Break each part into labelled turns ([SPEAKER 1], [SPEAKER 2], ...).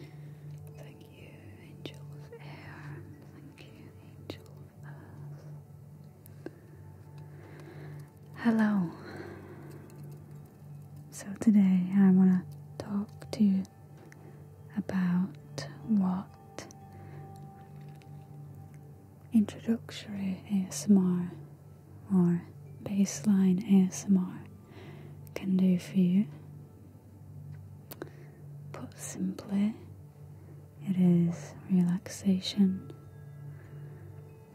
[SPEAKER 1] Thank you, Angel of Air. Thank you, Angel of Earth. Hello. So, today I want to talk to you about what introductory ASMR or baseline ASMR can do for you. Put simply, it is relaxation,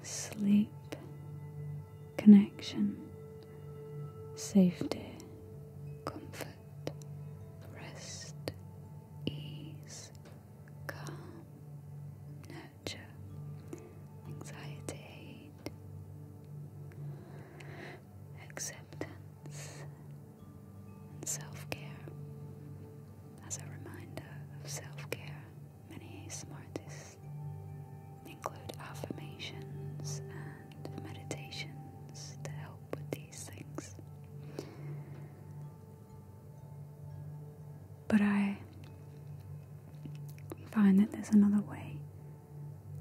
[SPEAKER 1] sleep, connection, safety, comfort, rest, ease, calm, nurture, anxiety, hate, acceptance, and self care. As a reminder of self care, many smartists include affirmations and meditations to help with these things. But I find that there's another way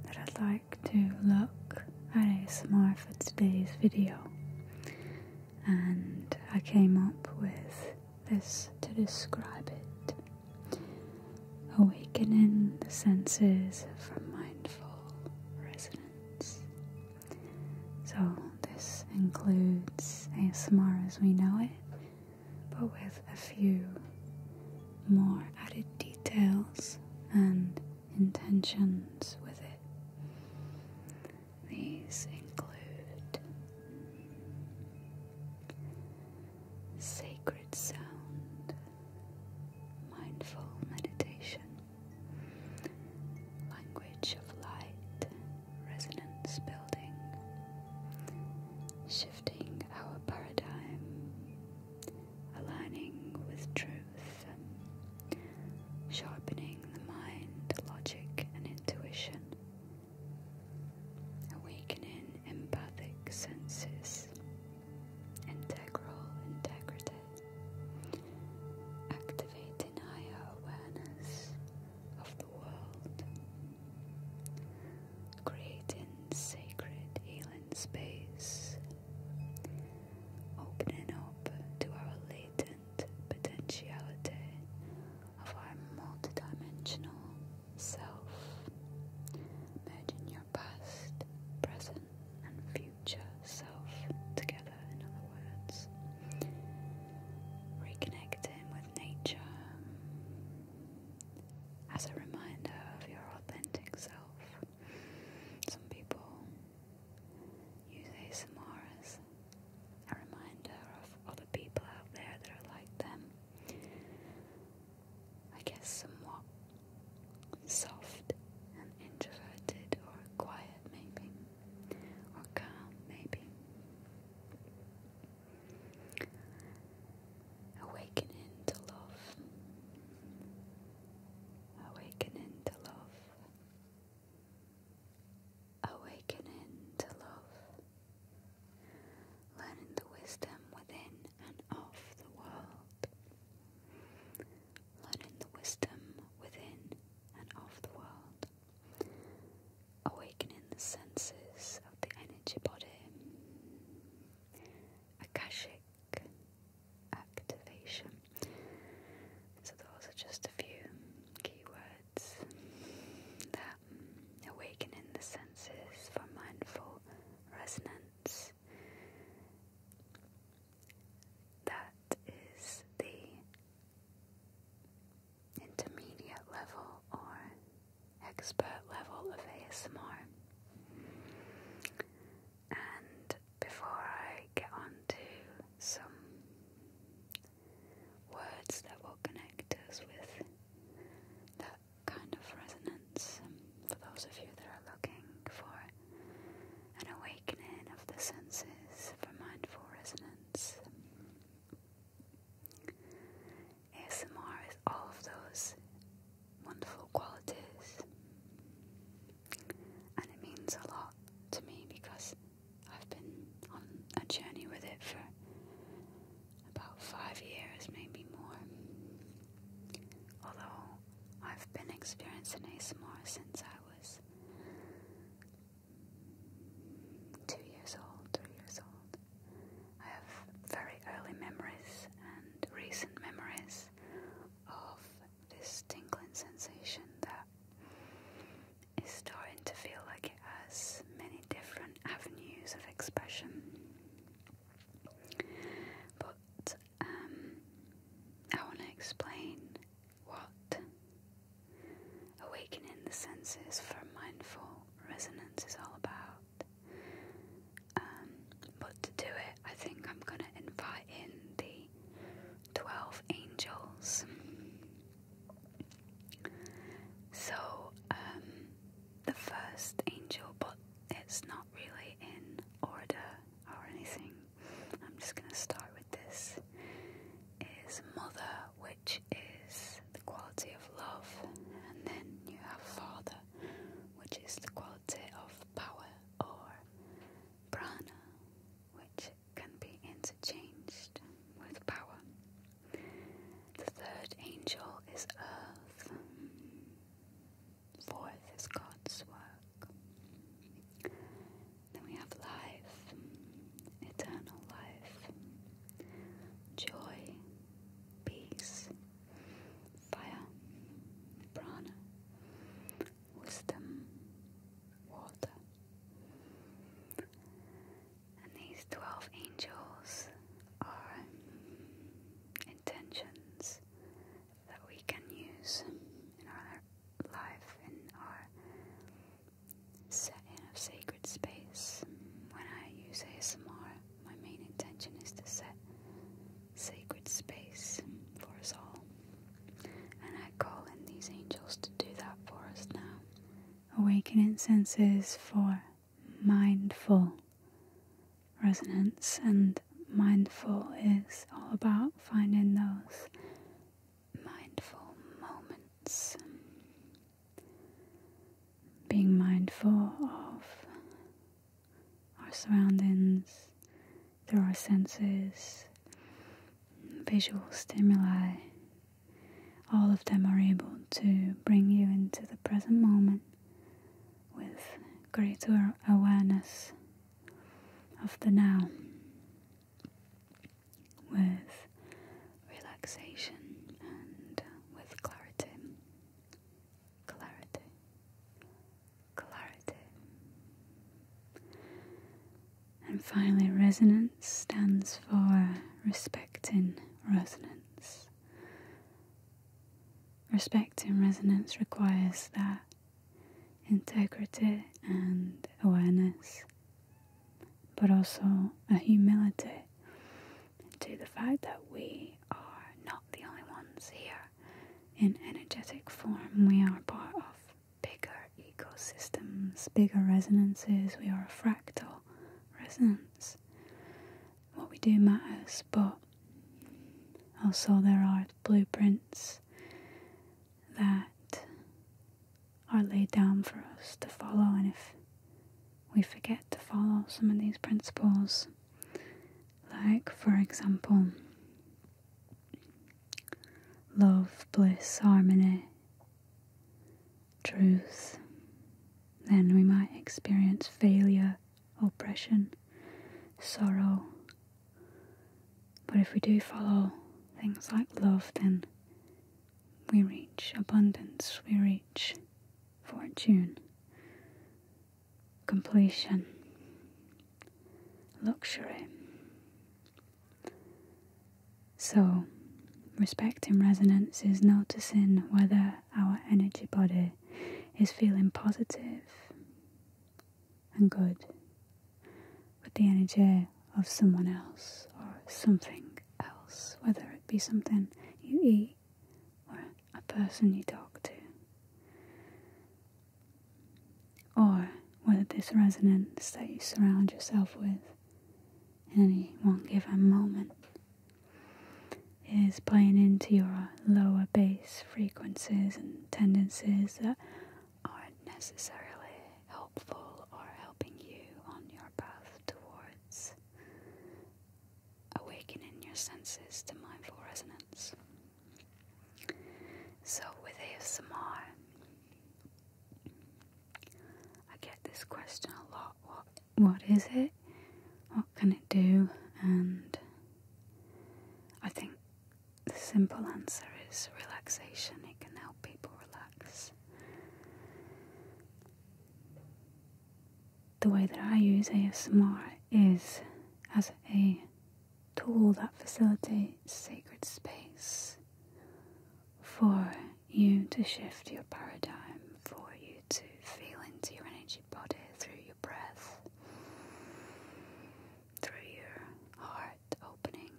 [SPEAKER 1] that I'd like to look at ASMR for today's video. And I came up with this to describe it. Awakening the senses from mindful resonance. So, this includes ASMR as we know it, but with a few more added details and intentions with it. These include sacred sound, mindful meditation, Language of light, resonance building, shifting our paradigm, aligning with truth, sharpening the mind, logic, and intuition, awakening empathic senses, integral integrity. Activating deny our awareness of the world, creating sacred alien space, opening up to our latent potentiality of our multidimensional self, merging your past, present, and future self together father, in other words. Reconnect with nature as a reminder of your authentic self. Some people use ASMR as a reminder of other people out there that are like them. I guess somewhat soft and introverted or quiet, maybe or calm, maybe. Awakening to love, awakening to love, awakening to love, learning the wisdom within and of the world, learning the wisdom within and of the world awakening the senses of the energy body, Akashic activation. So, those are just a few keywords that awakening the senses for mindful resonance. That is the intermediate level or expert level of ASMR. And before I get on to some words that will connect us with that kind of resonance, um, for those of you that are looking for an awakening of the senses for mindful resonance. ASMR is all of those wonderful qualities, and it means a lot to me because I've been on a journey with it for about five years, maybe more. Although I've been experiencing ASMR since I was two years old, three years old. I have very early memories and recent memories of this tingling sensation that is starting to feel like it has many different avenues of expression. But um, I want to explain what? Awakening the senses for mindful resonance is all about. Um, but to do it, I think I'm going to invite in the 12 angels. So, um, the first angel, but it's not really in order or anything. I'm just going to start with this is mother, which is the quality of love, and then you have father, which is the quality of power or prana, which can be interchanged with power. The third angel is earth, fourth is God's work. Then we have life, eternal life, joy, peace, fire, prana, wisdom, water. And these 12 angels are intentions that we can use in our life and are set in a sacred space. When I use ASMR, my main intention is to set sacred space for us all. And I call in these angels to do that for us now. Awakening senses for mindful resonance, and mindful is all about finding those mindful moments. Being mindful of our surroundings through our senses, visual stimuli, all of them are able to bring you into the present moment with greater awareness of the now with relaxation and with clarity. Clarity. Clarity. And finally, resonance stands for respect in resonance. Respect in resonance requires that integrity and awareness, but also a humility to the fact that we are not the only ones here in energetic form. We are part of bigger ecosystems, bigger resonances. We are a fractal resonance. What we do matters, but also there are blueprints that are laid down for us to follow, and if we forget to follow some of these principles, like, for example, love, bliss, harmony, truth, then we might experience failure, oppression, sorrow, but if we do follow things like love, then we reach abundance, we reach fortune, completion, luxury. So, respecting resonance is noticing whether our energy body is feeling positive and good with the energy of someone else or something else, whether it be something you eat or a person you talk to, or whether this resonance that you surround yourself with in any one given moment is playing into your lower base frequencies and tendencies that aren't necessarily helpful or helping you on your path towards awakening your senses to mindful resonance. So, with ASMR, I get this question a lot what, what is it? What can it do? And I think the simple answer is relaxation. It can help people relax. The way that I use ASMR is as a tool that facilitates sacred space for you to shift your paradigm, for you to feel into your energy body through your breath, through your heart opening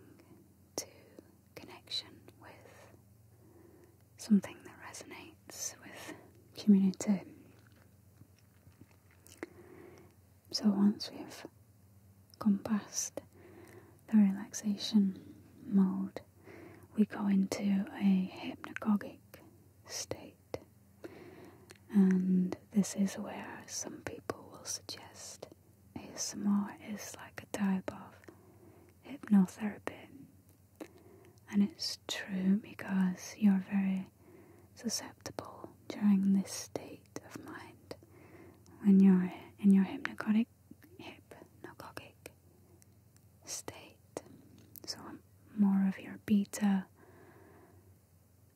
[SPEAKER 1] to connection with something that resonates with community. So once we've gone past the relaxation mode, we go into a hypnagogic state, and this is where some people will suggest ASMR is like a type of hypnotherapy. And it's true because you're very susceptible during this state of mind when you're in your hypnagogic, hypnagogic state. So more of your beta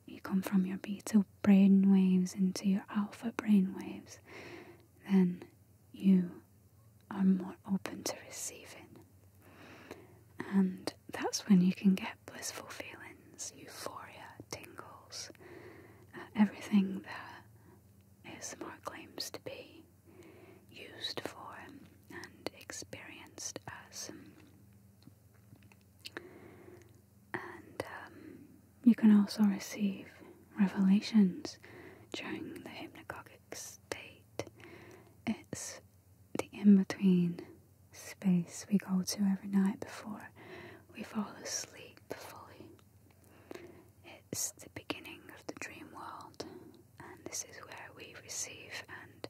[SPEAKER 1] you come from your beta brain waves into your alpha brain waves, then you are more open to receiving. And that's when you can get blissful feelings, euphoria, tingles, uh, everything that is more claims to be used for and experienced as and um, you can also receive revelations during the hypnagogic state. It's the in between space we go to every night before we fall asleep fully. It's the beginning of the dream world, and this is where we receive and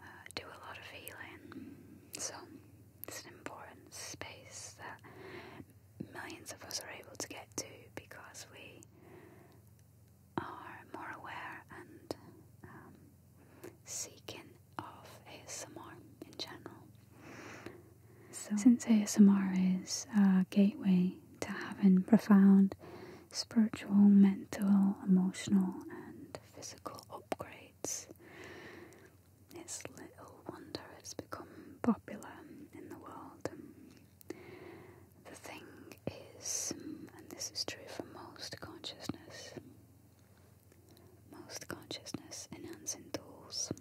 [SPEAKER 1] uh, do a lot of healing. So it's an important space that millions of us are able to get to because we are more aware and um, seeking of ASMR in general. So, since ASMR is a gateway to having profound spiritual, mental, emotional, and physical upgrades. States. It's little wonder it's become popular in the world. The thing is, and this is true for most consciousness, most consciousness enhancing tools.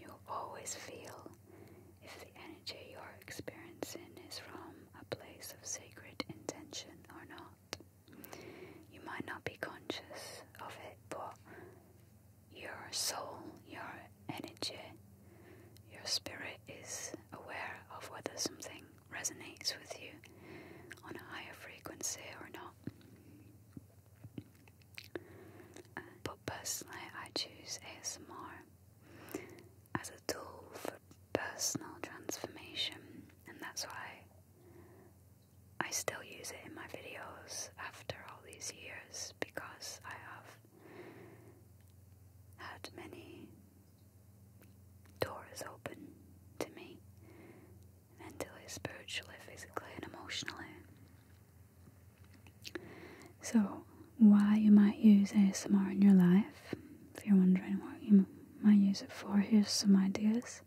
[SPEAKER 1] you always feel if the energy you're experiencing is from a place of sacred intention or not. You might not be conscious of it, but your soul, your energy, your spirit is aware of whether something resonates with you on a higher frequency or not. But personally, I choose ASMR as a tool for personal transformation, and that's why I still use it in my videos after all these years because I have had many doors open to me mentally, spiritually, physically, and emotionally. So, why you might use ASMR in your life if you're wondering what you might use it for, here's some ideas.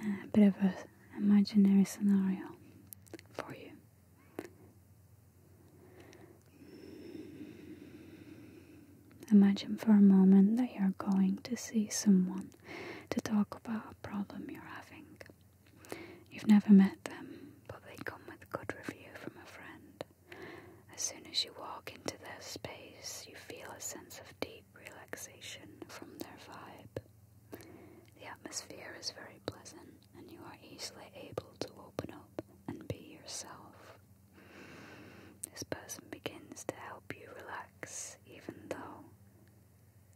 [SPEAKER 1] a bit of a imaginary scenario for you. Imagine for a moment that you're going to see someone to talk about a problem you're having. You've never met them, but they come with a good review from a friend. As soon as you walk into their space, you feel a sense of deep relaxation from their vibe. The atmosphere is very pleasant, and you are easily able to open up and be yourself. This person begins to help you relax, even though,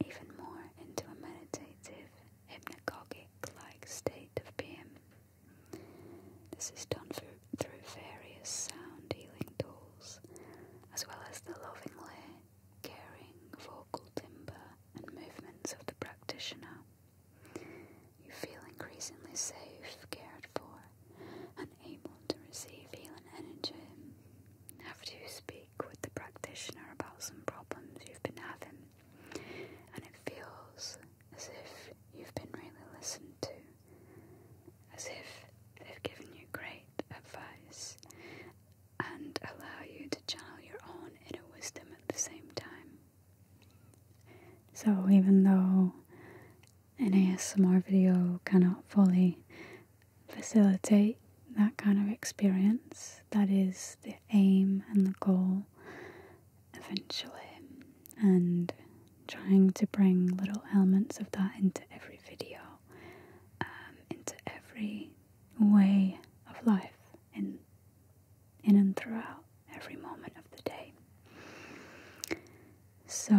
[SPEAKER 1] even more into a meditative, hypnagogic like state of being. This is done through, various sound healing tools, as well as the lovingly caring vocal timbre and movements of the practitioner. You feel increasingly safe, cared for, and able to receive healing energy. After you speak with the practitioner about some problems you've been having, and it feels as if you've been really listened to, as if they've given you great advice and allow you to channel your own inner wisdom at the same time. So, even though an ASMR video cannot fully facilitate that kind of experience, that is the aim and the goal eventually, and trying to bring little elements of that into every video, um, into every way of life, in, in and throughout every moment of the day. So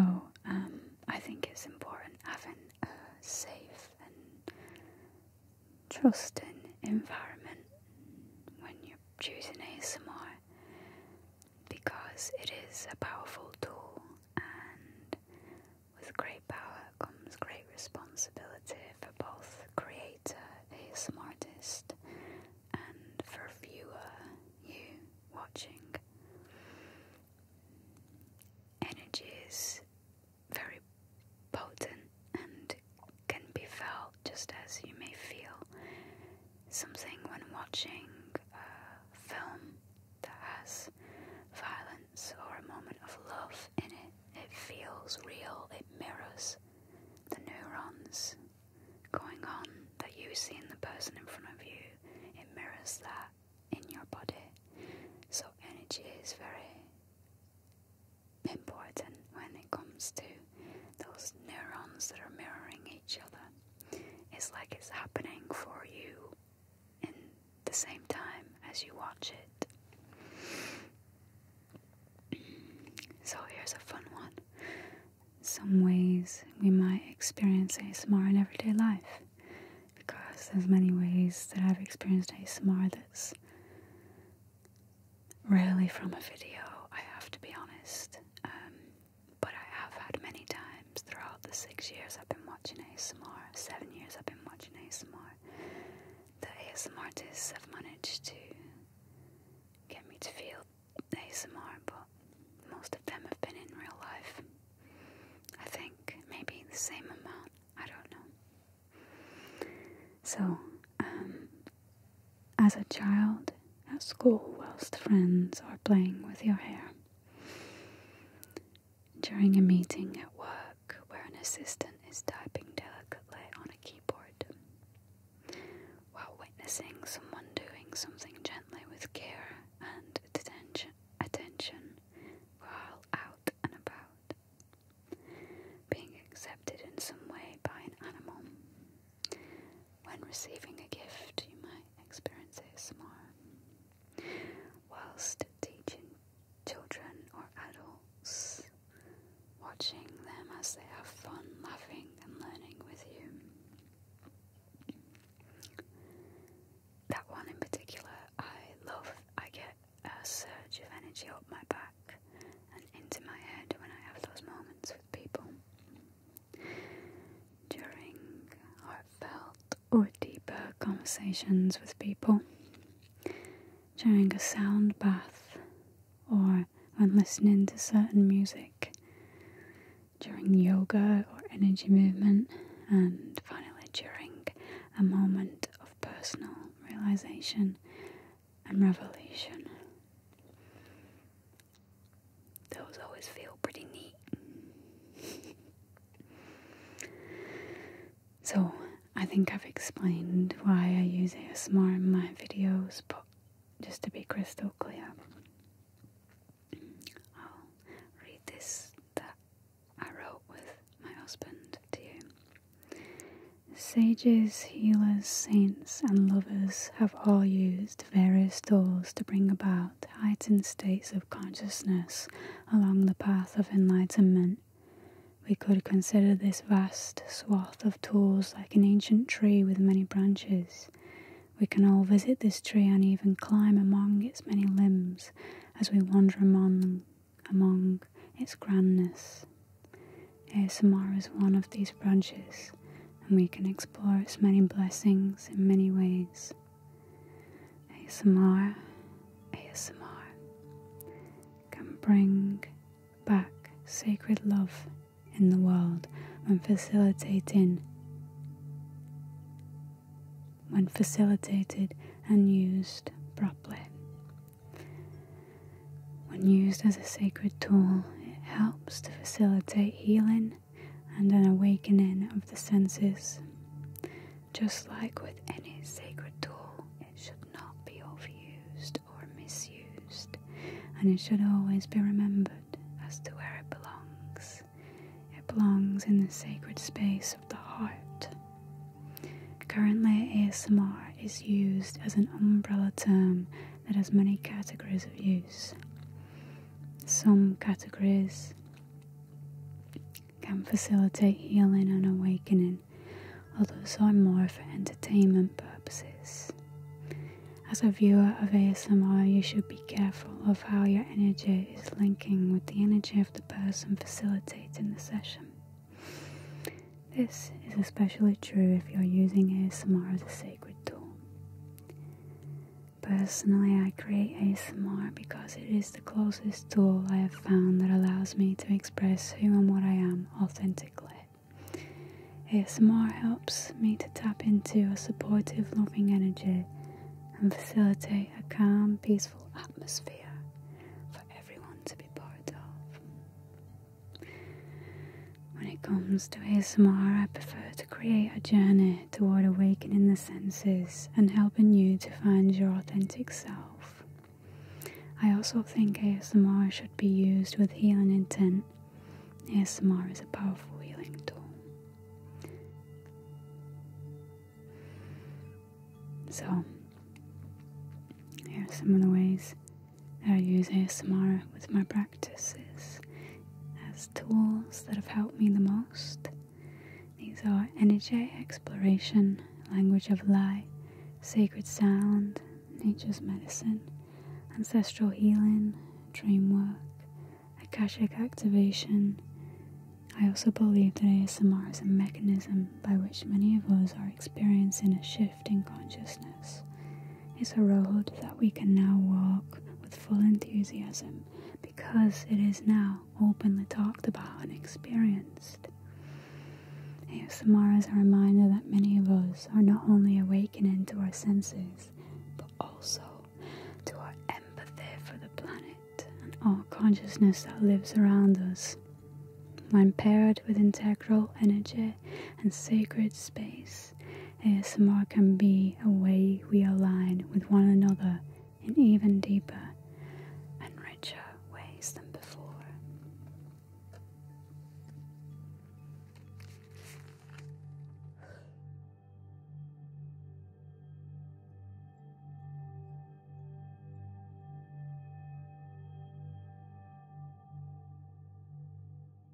[SPEAKER 1] um, I think it's important having a safe and trusting environment when you're choosing ASMR because it is a powerful tool and with great power comes great responsibility for both creator, ASM artist and for viewer, you watching. Energy is very potent and can be felt just as you may feel something when watching a film that has violence or a moment of love in it. It feels real, it mirrors the neurons going on that you see in the person in front of you. It mirrors that in your body. So, energy is very important when it comes to those neurons that are mirroring each other. It's like it's happening for you in the same time as you watch it. so here's a fun one. Some ways we might experience ASMR in everyday life. Because there's many ways that I've experienced ASMR that's rarely from a video, I have to be honest. Um, but I have had many times throughout the six years I've been watching ASMR, seven years I've been watching ASMR, The ASMR artists have managed to get me to feel ASMR, but most of them have been in real life. I think maybe the same amount, I don't know. So, um, as a child at school whilst friends are playing with your hair. During a meeting at work where an assistant is typing delicately on a keyboard, while witnessing someone doing something gently with care and attention, attention while out and about, being accepted in some way by an animal, when receiving a gift, you might experience ASMR. Whilst teaching children or adults, watching them as they have fun laughing and learning with you. That one in particular, I love. I get a surge of energy up my back and into my head when I have those moments with people. During heartfelt or deeper conversations with people, during a sound bath, or when listening to certain music, during yoga or energy movement, and finally during a moment of personal realization and revelation. Those always feel pretty neat. so, I think I've explained why I use ASMR in my videos, but just to be crystal clear, I'll read this that I wrote with my husband to you. Sages, healers, saints, and lovers have all used various tools to bring about heightened states of consciousness along the path of enlightenment. We could consider this vast swath of tools like an ancient tree with many branches. We can all visit this tree and even climb among its many limbs as we wander among, among its grandness. ASMR is one of these branches and we can explore its many blessings in many ways. ASMR, ASMR can bring back sacred love in the world when facilitating when facilitated and used properly. When used as a sacred tool, it helps to facilitate healing and an awakening of the senses. Just like with any sacred tool, it should not be overused or misused, and it should always be remembered as to where it belongs. It belongs in the sacred space of the heart. Currently, ASMR is used as an umbrella term that has many categories of use. Some categories can facilitate healing and awakening, others are more for entertainment purposes. As a viewer of ASMR, you should be careful of how your energy is linking with the energy of the person facilitating the session. This is especially true if you're using ASMR as a sacred tool. Personally, I create ASMR because it is the closest tool I have found that allows me to express who and what I am authentically. ASMR helps me to tap into a supportive, loving energy and facilitate a calm, peaceful atmosphere for everyone to be part of. When it comes to ASMR, I prefer to create a journey toward awakening the senses and helping you to find your authentic self. I also think ASMR should be used with healing intent. ASMR is a powerful healing tool. So, here are some of the ways I use ASMR with my practices as tools that have helped me the most. These are energy exploration, language of light, sacred sound, nature's medicine, ancestral healing, dream work, Akashic activation. I also believe that ASMR is a mechanism by which many of us are experiencing a shift shift in consciousness is a road that we can now walk with full enthusiasm because it is now openly talked about and experienced. ASMR is a reminder that many of us are not only awakening to our senses, but also to our empathy for the planet and all consciousness that lives around us. When paired with integral energy, and sacred space, as more can be a way we align with one another in even deeper and richer ways than before.